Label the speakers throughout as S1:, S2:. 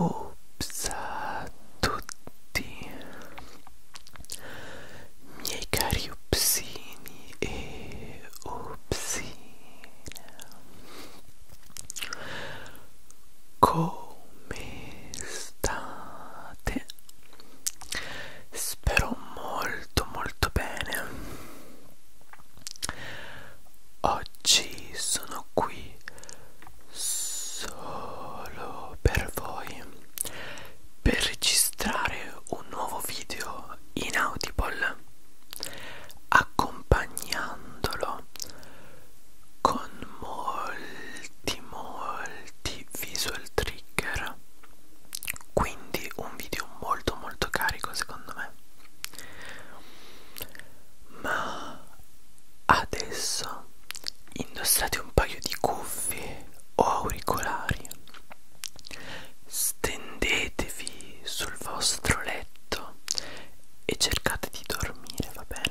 S1: Ups a tutti miei cari upsini e upsine come state? Spero molto molto bene. Oggi sono qui solo per voi per registrare un nuovo video in Audible accompagnandolo con molti molti visual trigger quindi un video molto molto carico secondo me ma adesso indossate un paio di cuffie o auricolari stendetevi sul vostro letto e cercate di dormire va bene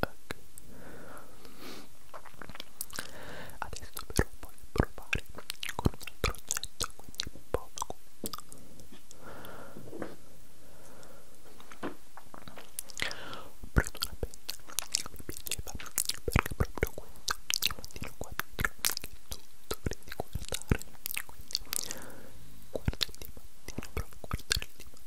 S1: Ecco. Adesso però voglio provare con un altro oggetto, quindi poco. Ho preso una penna che mi piaceva perché proprio questo è un motivo 4 che tu dovresti guardare. Quindi guarda il dimattino, prova a guardare il dimattino.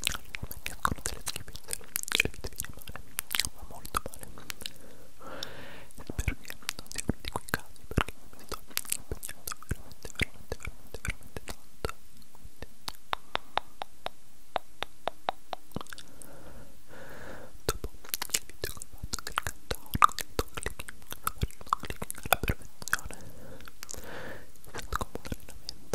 S1: escono delle schifezze e vi viene male, ma molto male spero che non sia uno di quei casi perché mi sto impegnando veramente veramente veramente veramente tanto Quindi, dopo il video che ho fatto che cantavo con il tuo clicking, con il tuo clicking alla perfezione è stato come un allenamento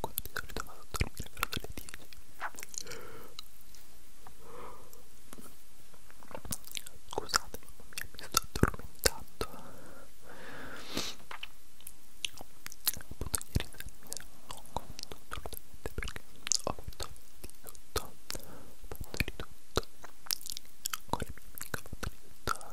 S1: quando di solito vado a dormire per le 10 scusate mamma mia mi sto addormentando appunto ieri sera non conto assolutamente perché ho fatto di tutto ho fatto di tutto con la mia amica ho fatto di tutto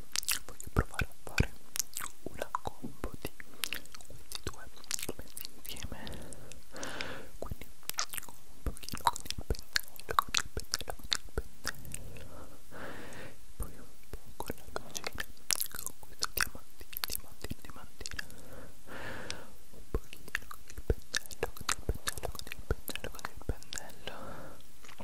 S1: voglio provare a fare una combo di questi due messi insieme quindi un pochino con il pennello con il pennello con il pennello poi un po' con la lucina con questo diamantino diamantino diamantino un pochino con il pennello con il pennello con il pennello con il pennello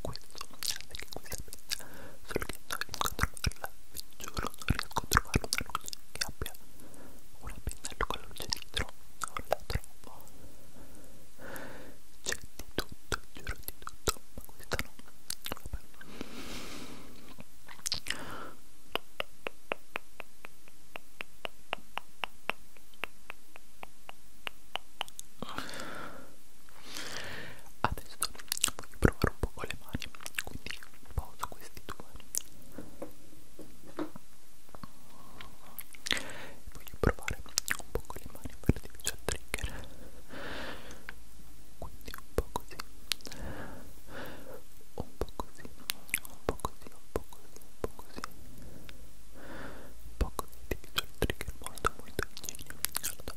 S1: questo anche qui serve solo che non riesco a trovarla vi giuro non riesco a trovare una luce che abbia una pennello con la luce dietro non la trovo c'è di tutto giuro di tutto ma questa no vabbè adesso voglio provare un po' con le mani quindi poso questi due voglio provare un po' con le mani per di più al trigger quindi un po' così un po' così un po' così un po' così un po' così un po' così di più al trigger molto molto vicino allora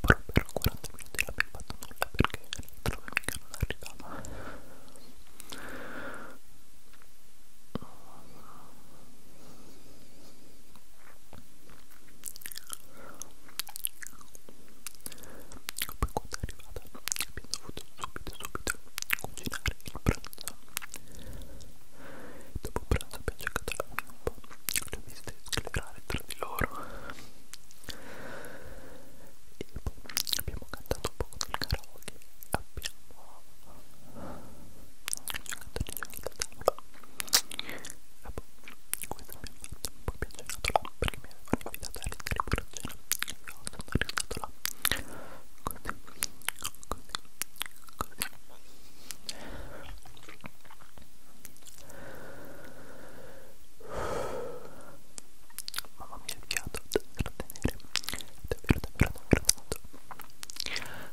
S1: però per 40 minuti non abbiamo fatto nulla perché l'altra mica non arrivava poi quando è arrivata abbiamo dovuto subito subito cucinare il pranzo Dopo pranzo abbiamo cercato alcuni un po', le ho viste sclerare tra di loro. E poi abbiamo cantato un po' con il karaoke, abbiamo giocato di giochi da tavola. E poi questo mi ha fatto un po' piacere là perché mi avevano invitato a restare pure a cena. E io sono restato là. Così, così, così. Mamma mia il fiato da tenere davvero davvero davvero tanto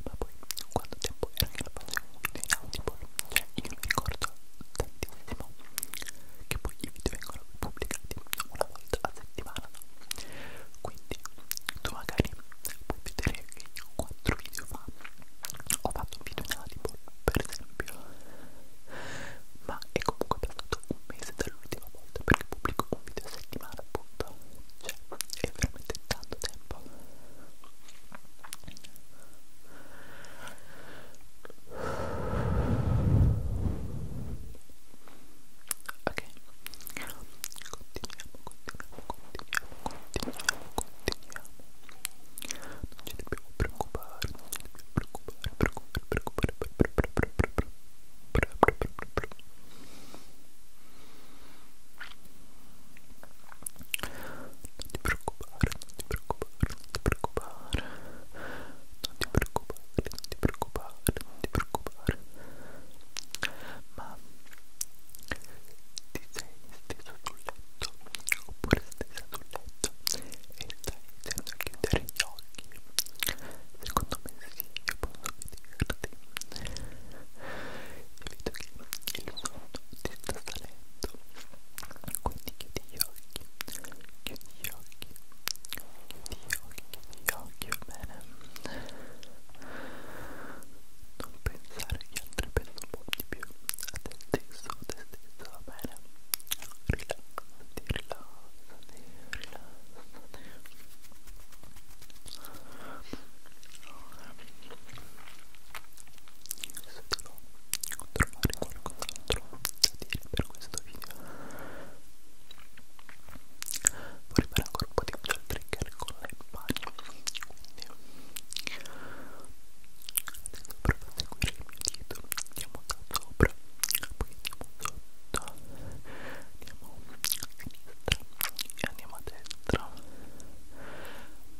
S1: Ma poi quanto tempo era che la facevo un video in Audible Cioè io mi ricordo tantissimo Che poi i video vengono pubblicati una volta a settimana Quindi tu magari puoi vedere che io 4 video fa ho fatto un video in Audible per esempio ma è comunque passato un mese dall'ultima volta perché pubblico un video a settimana appunto cioè è veramente tanto tempo ok continuiamo, continuiamo, continuiamo. Non ci dobbiamo preoccupare, non ci dobbiamo preoccupare, preoccupare, preoccupare, preoccupare, preoccupare, preoccupare. Non ti preoccupare, non ti preoccupare, non ti preoccupare. Non ti preoccupare, non ti preoccupare, non ti preoccupare. Ma ti sei steso sul letto oppure stesa sul letto e stai iniziando a chiudere gli occhi secondo me sì, io posso vederti e vedo che il sonno ti sta salendo quindi chiudi gli occhi chiudi gli occhi chiudi gli occhi chiudi gli occhi, va bene non pensare che gli altri pensano un po' di più a te stesso, a te stesso, va bene? Rilassati, rilassati, rilassati allora, se devo trovare qualcos'altro da dire per questo video vorrei fare ancora un po' di schiaccia il trigger con le mani quindi adesso provo a seguire il mio dito andiamo da sopra poi andiamo sotto andiamo a sinistra e andiamo a destra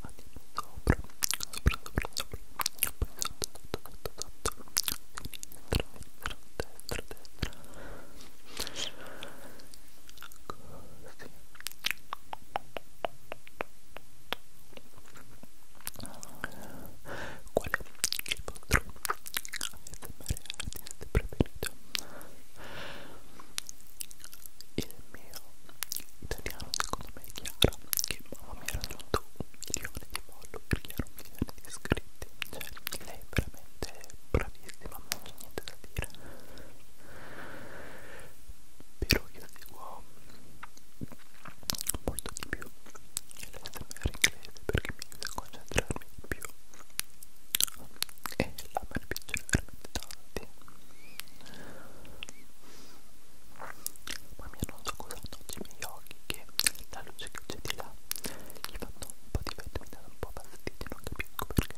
S1: andiamo sopra sopra sopra sopra poi sotto sotto sotto sotto sinistra sinistra destra destra Ecco. Qual è il vostro ASMR artist preferito? Il mio italiano secondo me è Chiara che mamma mi ha raggiunto un milione di follower, che era un milione di iscritti, cioè lei veramente veramente bravissima, non c'è niente da dire però io seguo molto di più l'SMR inglese perché mi aiuta a concentrarmi di più e la me ne piacciono veramente tanti ma mia non so cosa hanno oggi i miei occhi che la luce che c'è di là gli fanno un po' di fette mi danno un po' fastidio non capisco perché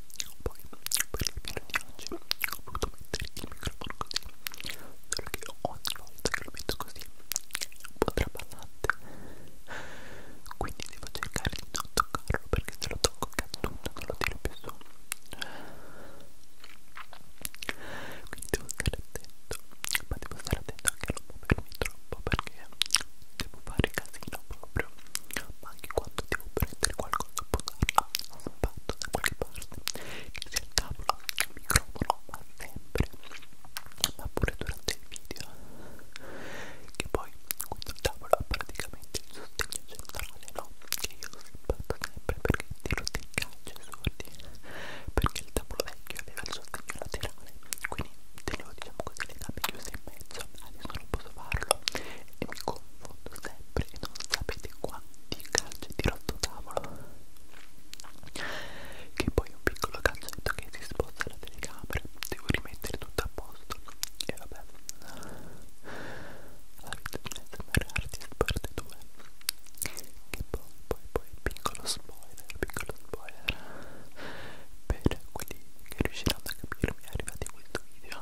S1: Poi, per il video di oggi, ho voluto mettere il microfono così, solo che ogni volta che lo metto così è un po' traballante, quindi devo cercare di non toccarlo perché se lo tocco cazzo non lo tiro più su. Quindi devo stare attento, ma devo stare attento anche a non muovermi troppo perché devo fare casino proprio fiamma anche quando devo prendere qualcosa a posarla stampato da qualche parte che sia il tavolo, il microfono, ma sempre ma pure durante il video che poi questo tavolo ha praticamente il sostegno centrale no? che io lo sbatto sempre perché tiro dei calci assurdi perché il tavolo vecchio aveva il sostegno laterale quindi tenevo diciamo così le gambe chiuse e mezzo adesso non posso farlo e mi confondo sempre e non sapete quanti calci di rotto tavolo che poi un piccolo calcetto che si sposta alla telecamera devo rimettere tutto a posto e vabbè la vita di SMR Artist parte 2 che poi poi poi piccolo spoiler piccolo spoiler per quelli che riusciranno senza capirmi è arrivato questo video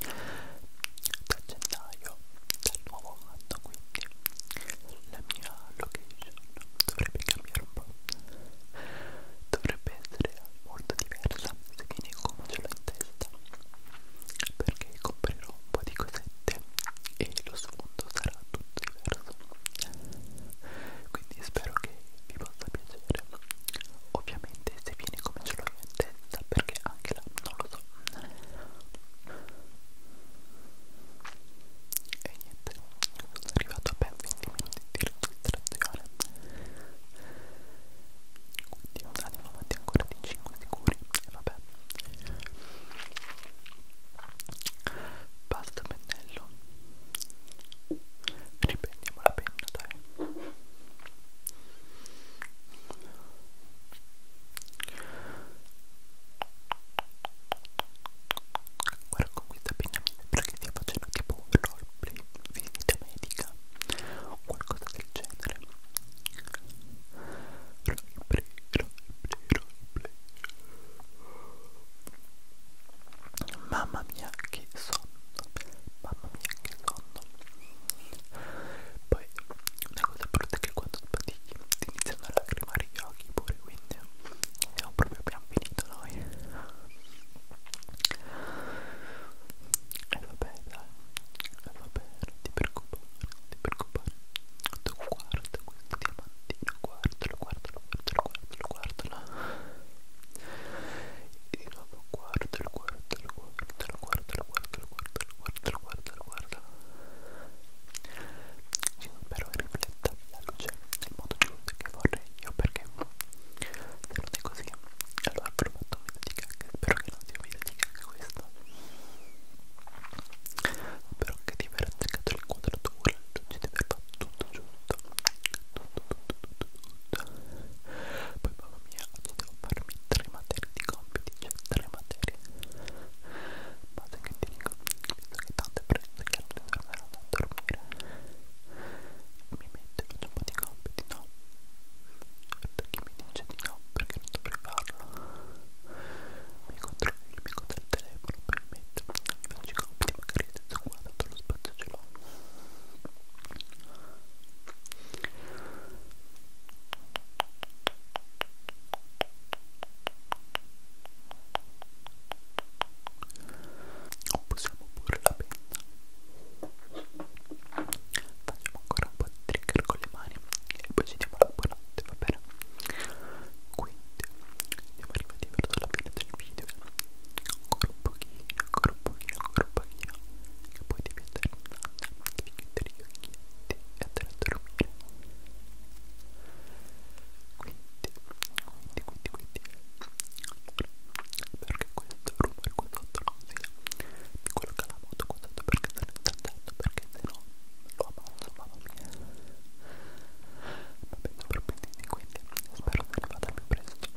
S1: da gennaio del nuovo anno quindi la mia location dovrebbe cambiare un po' dovrebbe essere molto diversa se viene come ce l'ho in testa perché comprerò un po' di cosette e lo sfondo sarà tutto diverso quindi spero che vi possa piacere ovviamente se viene come ce l'ho io in testa perché anche là non lo so e niente sono arrivato a ben 20 minuti di registrazione quindi andiamo avanti ancora di 5 sicuri e vabbè basta mettere pennello riprendiamo la penna dai guarda con questa penna mi sembra che stia facendo tipo un roleplay visita medica o qualcosa del genere roleplay roleplay roleplay Mamma mia, che sonno! mamma mia che sonno poi una cosa brutta è che quando sbadigli ti iniziano a lacrimare gli occhi pure quindi siamo proprio abbiamo finito noi e eh, vabbè dai e eh, vabbè non ti preoccupare non ti preoccupare tu guarda questo diamantino guardalo guardalo guardalo guardalo guardalo e di nuovo guardalo, guardalo, guardalo, guardalo, guardalo, guardalo, guardalo, guardalo, guardalo. Spero rifletta la luce nel modo giusto che vorrei io perché se non è così allora avrò fatto un video di cacca spero che non sia un video di cacca questo spero che ti aver azzeccato l'inquadratura di aver fatto tutto giusto tutto, tutto, tutto, tutto poi mamma mia oggi devo farmi tre materie di compiti cioè tre materie ma se che ti dico visto che tanto è presto che altri torneranno a dormire mi metto faccio un po' di compiti no perché mi dice di no perché non dovrei farlo mi controllo il mio del telefono per mettermi faccio i compiti magari senza guardare lo spazio ce l'ho o possiamo pure la penna facciamo ancora un po' di trigger con le mani e poi ci diamo la buonanotte va bene qui quindi siamo arrivati verso la fine del video ancora un pochino ancora un pochino ancora un pochino che poi devi stare in onda devi chiudere gli occhietti e andare a dormire quindi quindi quindi quindi perché questo rumore qua sotto non sia quello che la moto qua sotto perché se ne sta andando perché se no lo ammazzo mamma mia vabbè non propenditi quindi spero che arrivate al più presto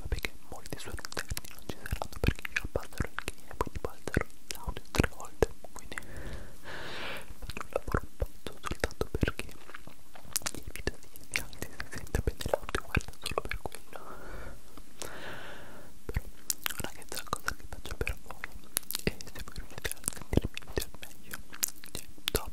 S1: vabbè che molti suoi interni non ci saranno perché io abbasserò il key e quindi passerò l'audio tre volte quindi faccio un lavoro pazzo soltanto perché i video di inizianti si sente bene l'audio guarda solo per quello però ragazzi la cosa che faccio per voi e se voi riuscite a sentirmi video al meglio cioè top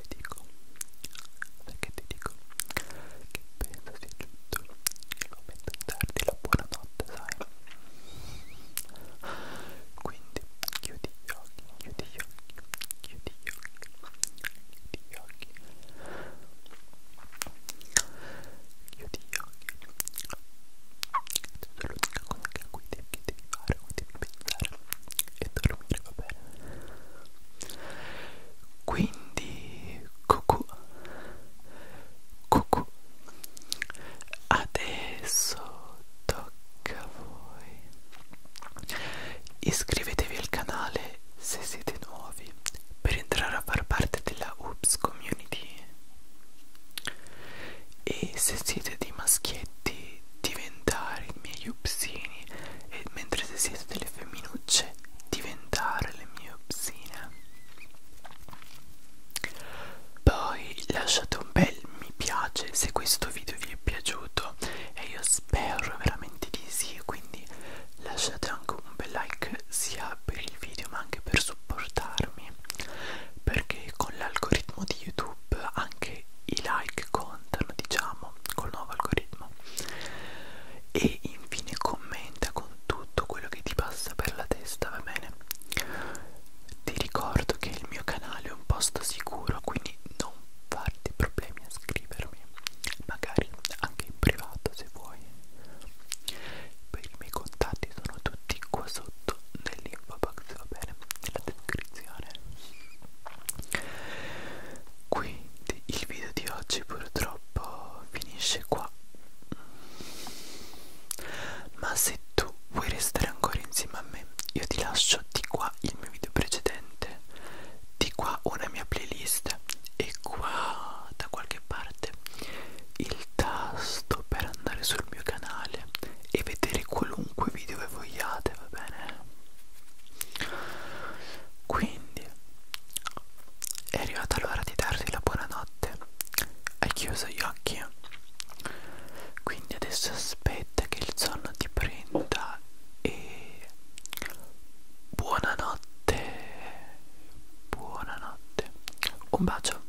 S1: ti dico? Sai che ti dico? Che penso sia giunto il momento di darti la buonanotte, sai? Quindi chiudi gli occhi, chiudi gli occhi, chiudi gli occhi, chiudi gli occhi, chiudi gli occhi. Questa è l'unica cosa che, che devi fare, quindi pensare e dormire, va bene. Quindi, cucù, cucù, adesso tocca a voi. Iscrivetevi al canale se siete nuovi per entrare a far parte della Oops Community. E se siete dei maschietti di diventare i miei upsini e mentre se siete delle femminucce diventare le mie upsine poi lasciate un bel mi piace se questo video vi è piaciuto e io spero veramente di sì quindi lasciate anche un bel like sia per il video ma anche per supportarmi perché con l'algoritmo di youtube anche i like contano diciamo col nuovo algoritmo e infine commenta con tutto quello che ti passa per la testa va bene ti ricordo che il mio canale è un posto sicuro quindi non farti problemi a scrivermi magari anche in privato se vuoi i miei contatti sono tutti qua sotto nell'info box va bene nella descrizione quindi il video di oggi purtroppo finisce qua ma se tu vuoi restare ancora insieme a me io ti lascio di qua il mio video precedente di qua una mia playlist e qua da qualche parte il tasto per andare sul mio canale e vedere qualunque video che vogliate, va bene? Quindi è arrivata l'ora di darti la buonanotte. Hai chiuso gli occhi? Quindi adesso aspetta che il sonno ti prenda e buonanotte. Buonanotte. Un bacio.